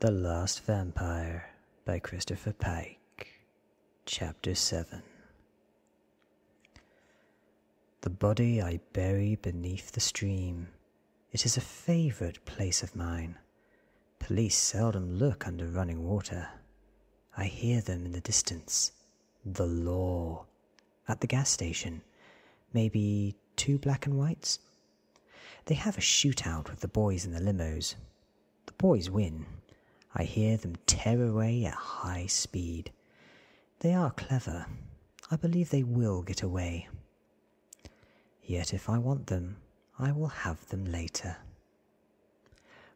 The Last Vampire by Christopher Pike, Chapter 7. The body I bury beneath the stream. It is a favorite place of mine. Police seldom look under running water. I hear them in the distance. The law. At the gas station. Maybe two black and whites? They have a shootout with the boys in the limos. The boys win. I hear them tear away at high speed. They are clever. I believe they will get away. Yet if I want them, I will have them later.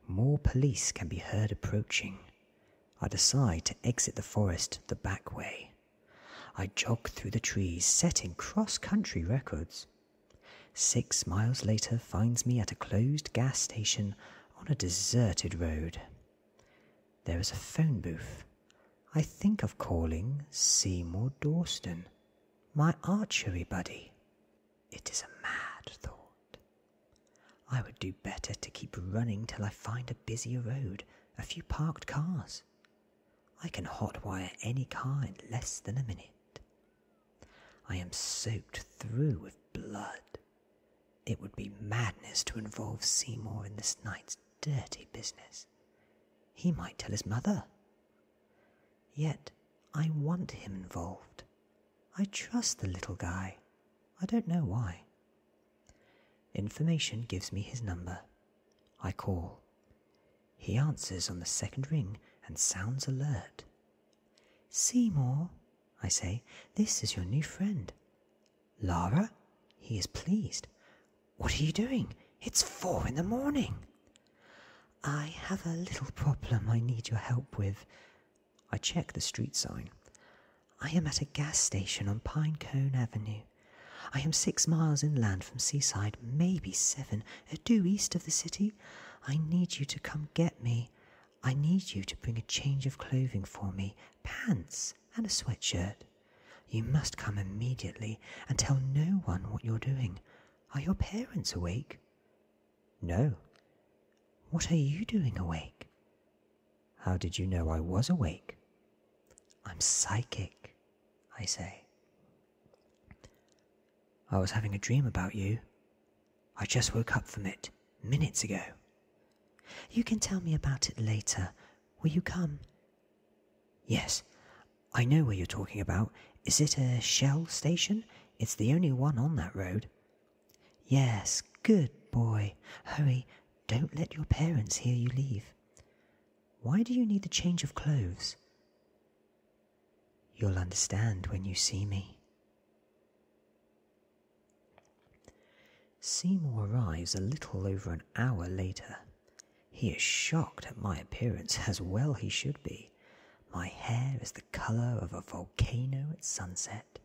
More police can be heard approaching. I decide to exit the forest the back way. I jog through the trees, setting cross country records. Six miles later finds me at a closed gas station on a deserted road. There is a phone booth. I think of calling Seymour Dawson, my archery buddy. It is a mad thought. I would do better to keep running till I find a busier road, a few parked cars. I can hotwire any car in less than a minute. I am soaked through with blood. It would be madness to involve Seymour in this night's dirty business. He might tell his mother. Yet, I want him involved. I trust the little guy. I don't know why. Information gives me his number. I call. He answers on the second ring and sounds alert. Seymour, I say, this is your new friend. Lara? He is pleased. What are you doing? It's four in the morning. I have a little problem I need your help with. I check the street sign. I am at a gas station on Pinecone Avenue. I am six miles inland from Seaside, maybe seven, due east of the city. I need you to come get me. I need you to bring a change of clothing for me, pants and a sweatshirt. You must come immediately and tell no one what you're doing. Are your parents awake? No. What are you doing awake? How did you know I was awake? I'm psychic, I say. I was having a dream about you. I just woke up from it minutes ago. You can tell me about it later. Will you come? Yes, I know what you're talking about. Is it a Shell station? It's the only one on that road. Yes, good boy. Hurry, don't let your parents hear you leave. Why do you need the change of clothes? You'll understand when you see me. Seymour arrives a little over an hour later. He is shocked at my appearance, as well he should be. My hair is the colour of a volcano at sunset.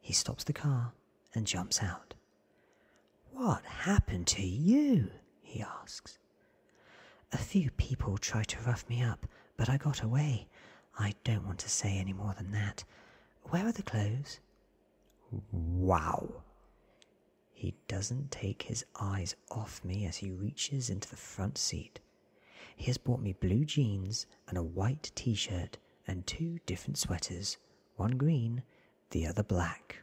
He stops the car and jumps out. What happened to you? he asks. A few people tried to rough me up, but I got away. I don't want to say any more than that. Where are the clothes? Wow. He doesn't take his eyes off me as he reaches into the front seat. He has bought me blue jeans and a white t shirt and two different sweaters, one green, the other black.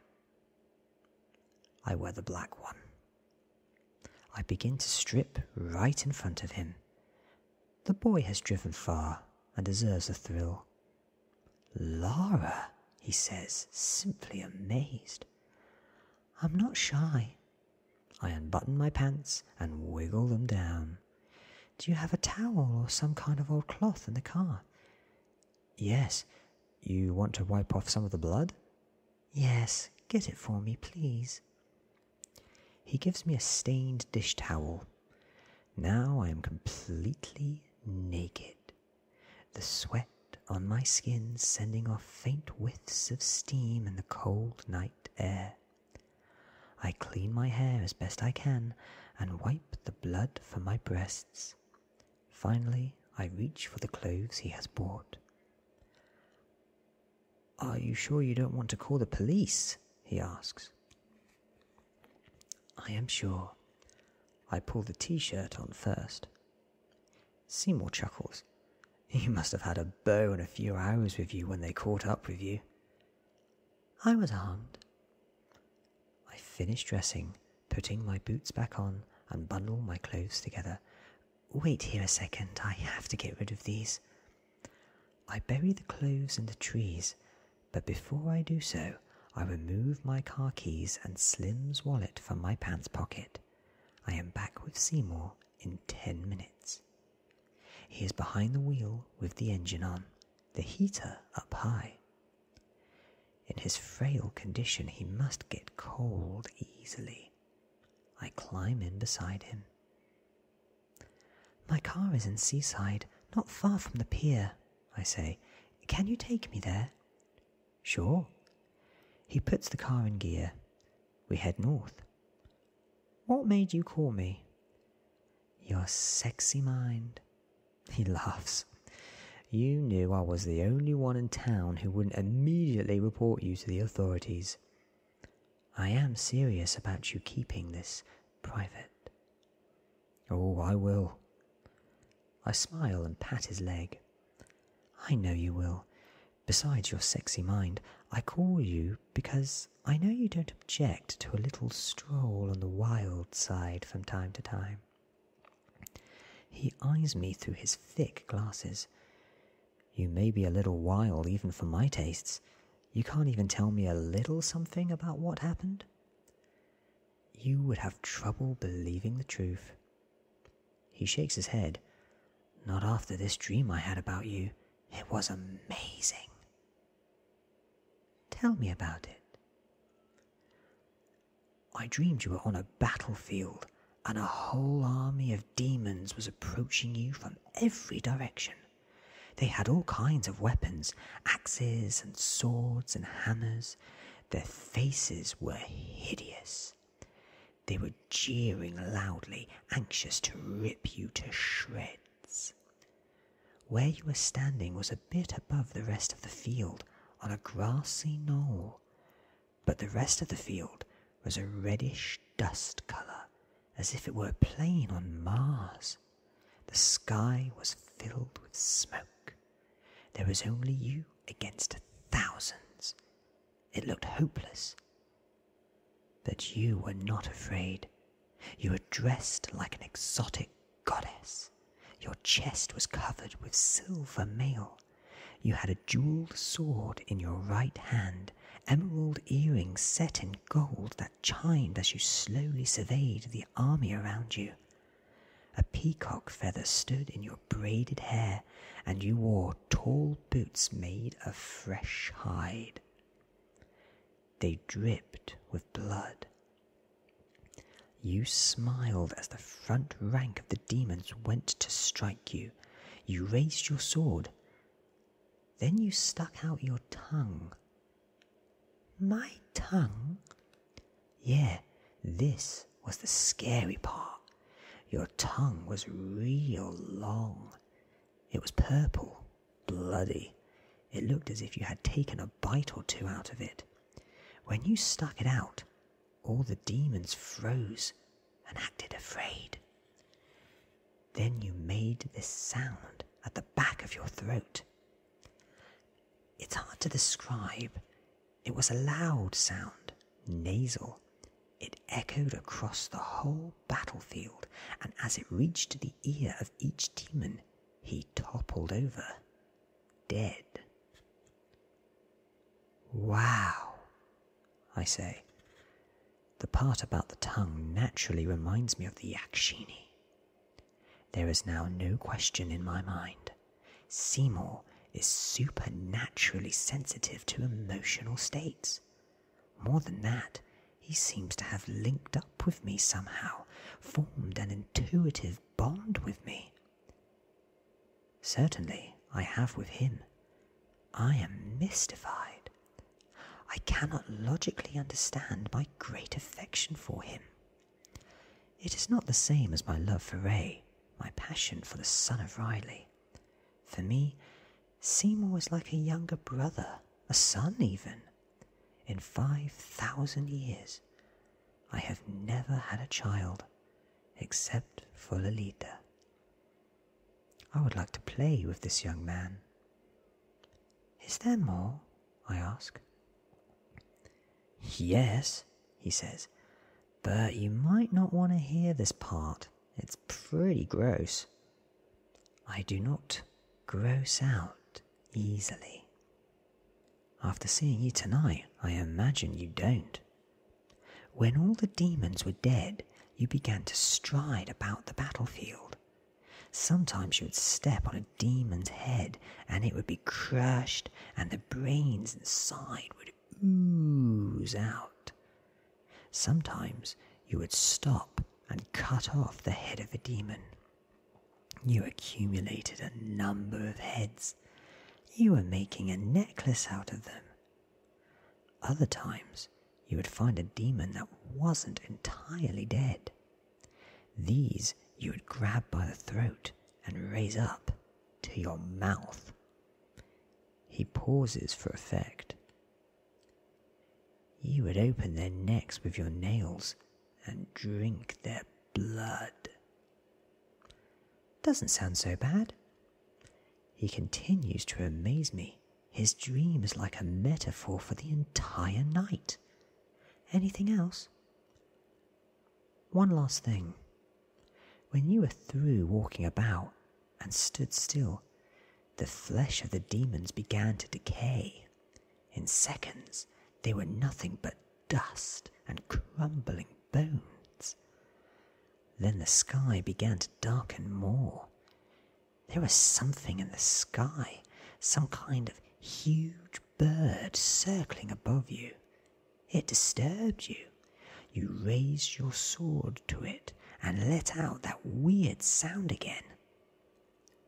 I wear the black one. I begin to strip right in front of him. The boy has driven far and deserves a thrill. Laura, he says, simply amazed. I'm not shy. I unbutton my pants and wiggle them down. Do you have a towel or some kind of old cloth in the car? Yes. You want to wipe off some of the blood? Yes, get it for me, please. He gives me a stained dish towel. Now I am completely naked the sweat on my skin sending off faint whiffs of steam in the cold night air. I clean my hair as best I can and wipe the blood from my breasts. Finally, I reach for the clothes he has bought. Are you sure you don't want to call the police? he asks. I am sure, I pull the t shirt on first. Seymour chuckles. You must have had a beau in a few hours with you when they caught up with you. I was armed. I finish dressing, putting my boots back on, and bundle my clothes together. Wait here a second, I have to get rid of these. I bury the clothes in the trees, but before I do so, I remove my car keys and Slim's wallet from my pants pocket. I am back with Seymour in ten minutes. He is behind the wheel with the engine on, the heater up high. In his frail condition, he must get cold easily. I climb in beside him. My car is in Seaside, not far from the pier, I say. Can you take me there? Sure. He puts the car in gear. We head north. What made you call me? Your sexy mind. He laughs. You knew I was the only one in town who wouldn't immediately report you to the authorities. I am serious about you keeping this private. Oh, I will. I smile and pat his leg. I know you will. Besides your sexy mind, I call you because I know you don't object to a little stroll on the wild side from time to time. He eyes me through his thick glasses. You may be a little wild even for my tastes. You can't even tell me a little something about what happened? You would have trouble believing the truth. He shakes his head. Not after this dream I had about you. It was amazing. Tell me about it. I dreamed you were on a battlefield and a whole army of demons was approaching you from every direction. They had all kinds of weapons axes and swords and hammers, their faces were hideous. They were jeering loudly, anxious to rip you to shreds. Where you were standing was a bit above the rest of the field, on a grassy knoll, but the rest of the field was a reddish dust colour, as if it were a plain on Mars. The sky was filled with smoke. There was only you against thousands. It looked hopeless. But you were not afraid. You were dressed like an exotic goddess. Your chest was covered with silver mail. You had a jeweled sword in your right hand, emerald earrings set in gold that chimed as you slowly surveyed the army around you. A peacock feather stood in your braided hair, and you wore tall boots made of fresh hide. They dripped with blood. You smiled as the front rank of the demons went to strike you. You raised your sword. Then you stuck out your tongue my tongue? Yeah, this was the scary part. Your tongue was real long. It was purple, bloody. It looked as if you had taken a bite or two out of it. When you stuck it out, all the demons froze and acted afraid. Then you made this sound at the back of your throat. It's hard to describe. It was a loud sound, nasal. It echoed across the whole battlefield, and as it reached the ear of each demon, he toppled over, dead. Wow, I say. The part about the tongue naturally reminds me of the Yakshini. There is now no question in my mind. Seymour is supernaturally sensitive to emotional states. More than that, he seems to have linked up with me somehow, formed an intuitive bond with me. Certainly, I have with him. I am mystified. I cannot logically understand my great affection for him. It is not the same as my love for Ray, my passion for the son of Riley. For me, Seymour is like a younger brother, a son even. In five thousand years, I have never had a child except for Lolita. I would like to play with this young man, is there more? I ask. Yes, he says, but you might not want to hear this part. It's pretty gross. I do not gross out easily. After seeing you tonight, I imagine you don't. When all the demons were dead, you began to stride about the battlefield, Sometimes you would step on a demon's head and it would be crushed, and the brains inside would ooze out. Sometimes you would stop and cut off the head of a demon. You accumulated a number of heads. You were making a necklace out of them. Other times, you would find a demon that wasn't entirely dead. These you would grab by the throat and raise up to your mouth. He pauses for effect. You would open their necks with your nails and drink their blood. Doesn't sound so bad. He continues to amaze me. His dream is like a metaphor for the entire night. Anything else? One last thing. When you were through walking about and stood still, the flesh of the demons began to decay. In seconds, they were nothing but dust and crumbling bones. Then the sky began to darken more. There was something in the sky, some kind of huge bird circling above you. It disturbed you. You raised your sword to it and let out that weird sound again.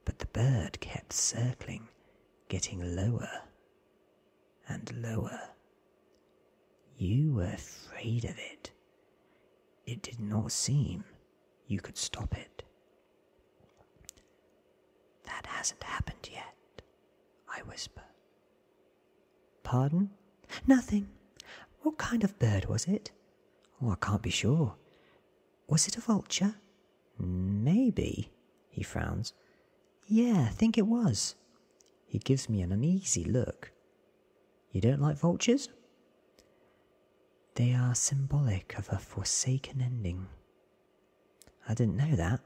But the bird kept circling, getting lower and lower. You were afraid of it. It did not seem you could stop it. That hasn't happened yet, I whisper. Pardon? Nothing. What kind of bird was it? Oh, I can't be sure. Was it a vulture? Maybe, he frowns. Yeah, think it was. He gives me an uneasy look. You don't like vultures? They are symbolic of a forsaken ending. I didn't know that.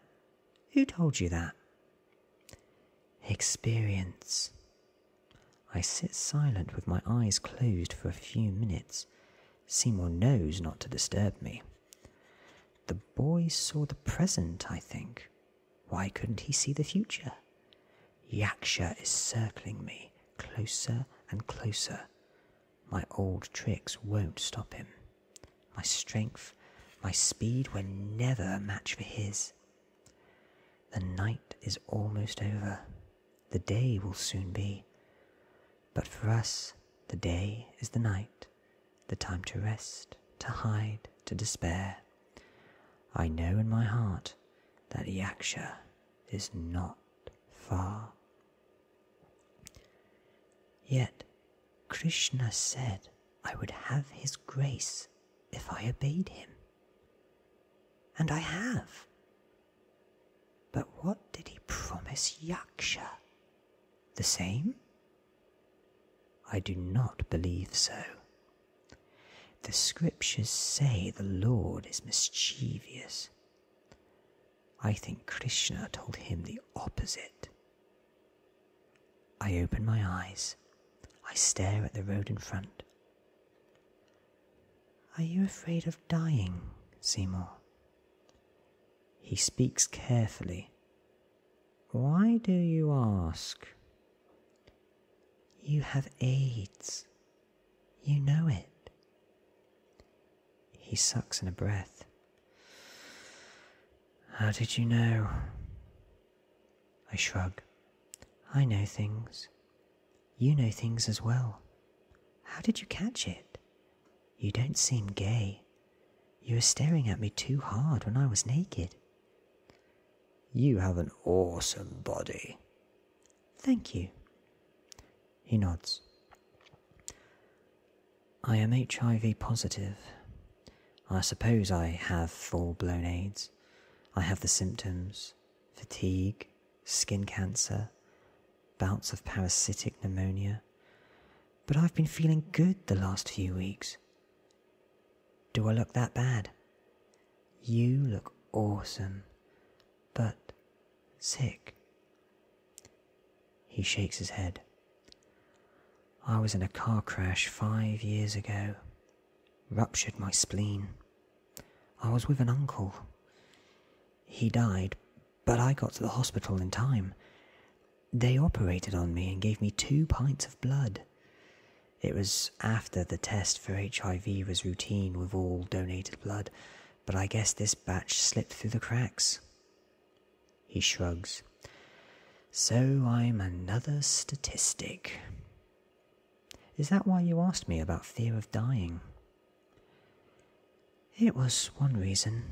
Who told you that? Experience. I sit silent with my eyes closed for a few minutes. Seymour knows not to disturb me. The boy saw the present, I think. Why couldn't he see the future? Yaksha is circling me closer and closer. My old tricks won't stop him. My strength, my speed were never a match for his. The night is almost over. The day will soon be. But for us, the day is the night, the time to rest, to hide, to despair. I know in my heart that Yaksha is not far. Yet Krishna said I would have his grace if I obeyed him. And I have. But what did he promise Yaksha? The same? I do not believe so. The scriptures say the Lord is mischievous. I think Krishna told him the opposite. I open my eyes. I stare at the road in front. Are you afraid of dying, Seymour? He speaks carefully. Why do you ask? You have AIDS. You know it. He sucks in a breath. How did you know? I shrug. I know things. You know things as well. How did you catch it? You don't seem gay. You were staring at me too hard when I was naked. You have an awesome body. Thank you. He nods. I am HIV positive. I suppose I have full blown AIDS. I have the symptoms fatigue, skin cancer, bouts of parasitic pneumonia. But I've been feeling good the last few weeks. Do I look that bad? You look awesome, but sick. He shakes his head. I was in a car crash five years ago. Ruptured my spleen. I was with an uncle. He died, but I got to the hospital in time. They operated on me and gave me two pints of blood. It was after the test for HIV was routine with all donated blood, but I guess this batch slipped through the cracks. He shrugs. So I'm another statistic. Is that why you asked me about fear of dying? It was one reason.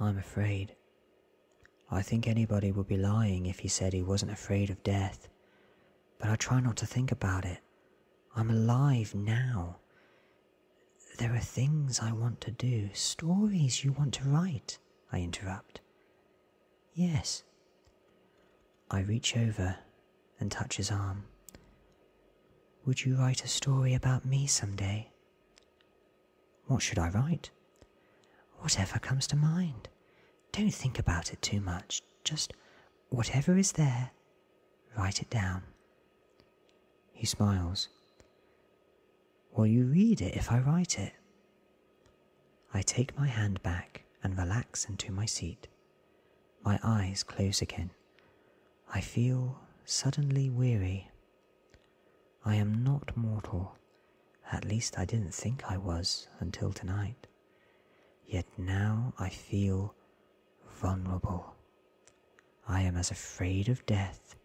I'm afraid I think anybody would be lying if he said he wasn't afraid of death. But I try not to think about it. I'm alive now. There are things I want to do, stories you want to write, I interrupt. Yes. I reach over and touch his arm. Would you write a story about me some day? What should I write? Whatever comes to mind. Don't think about it too much. Just whatever is there, write it down. He smiles. Will you read it if I write it? I take my hand back and relax into my seat. My eyes close again. I feel suddenly weary. I am not mortal. At least I didn't think I was until tonight. Yet now I feel vulnerable. I am as afraid of death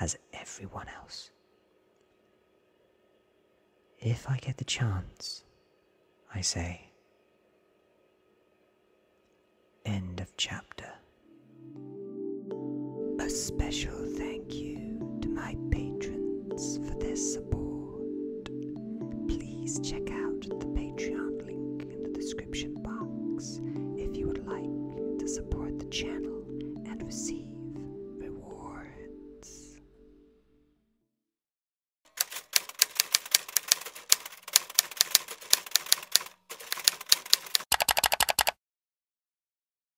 as everyone else. If I get the chance, I say. End of chapter. A special thing thank you to my patrons for their support. Please check out the Patreon link in the description box if you would like to support the channel and receive rewards.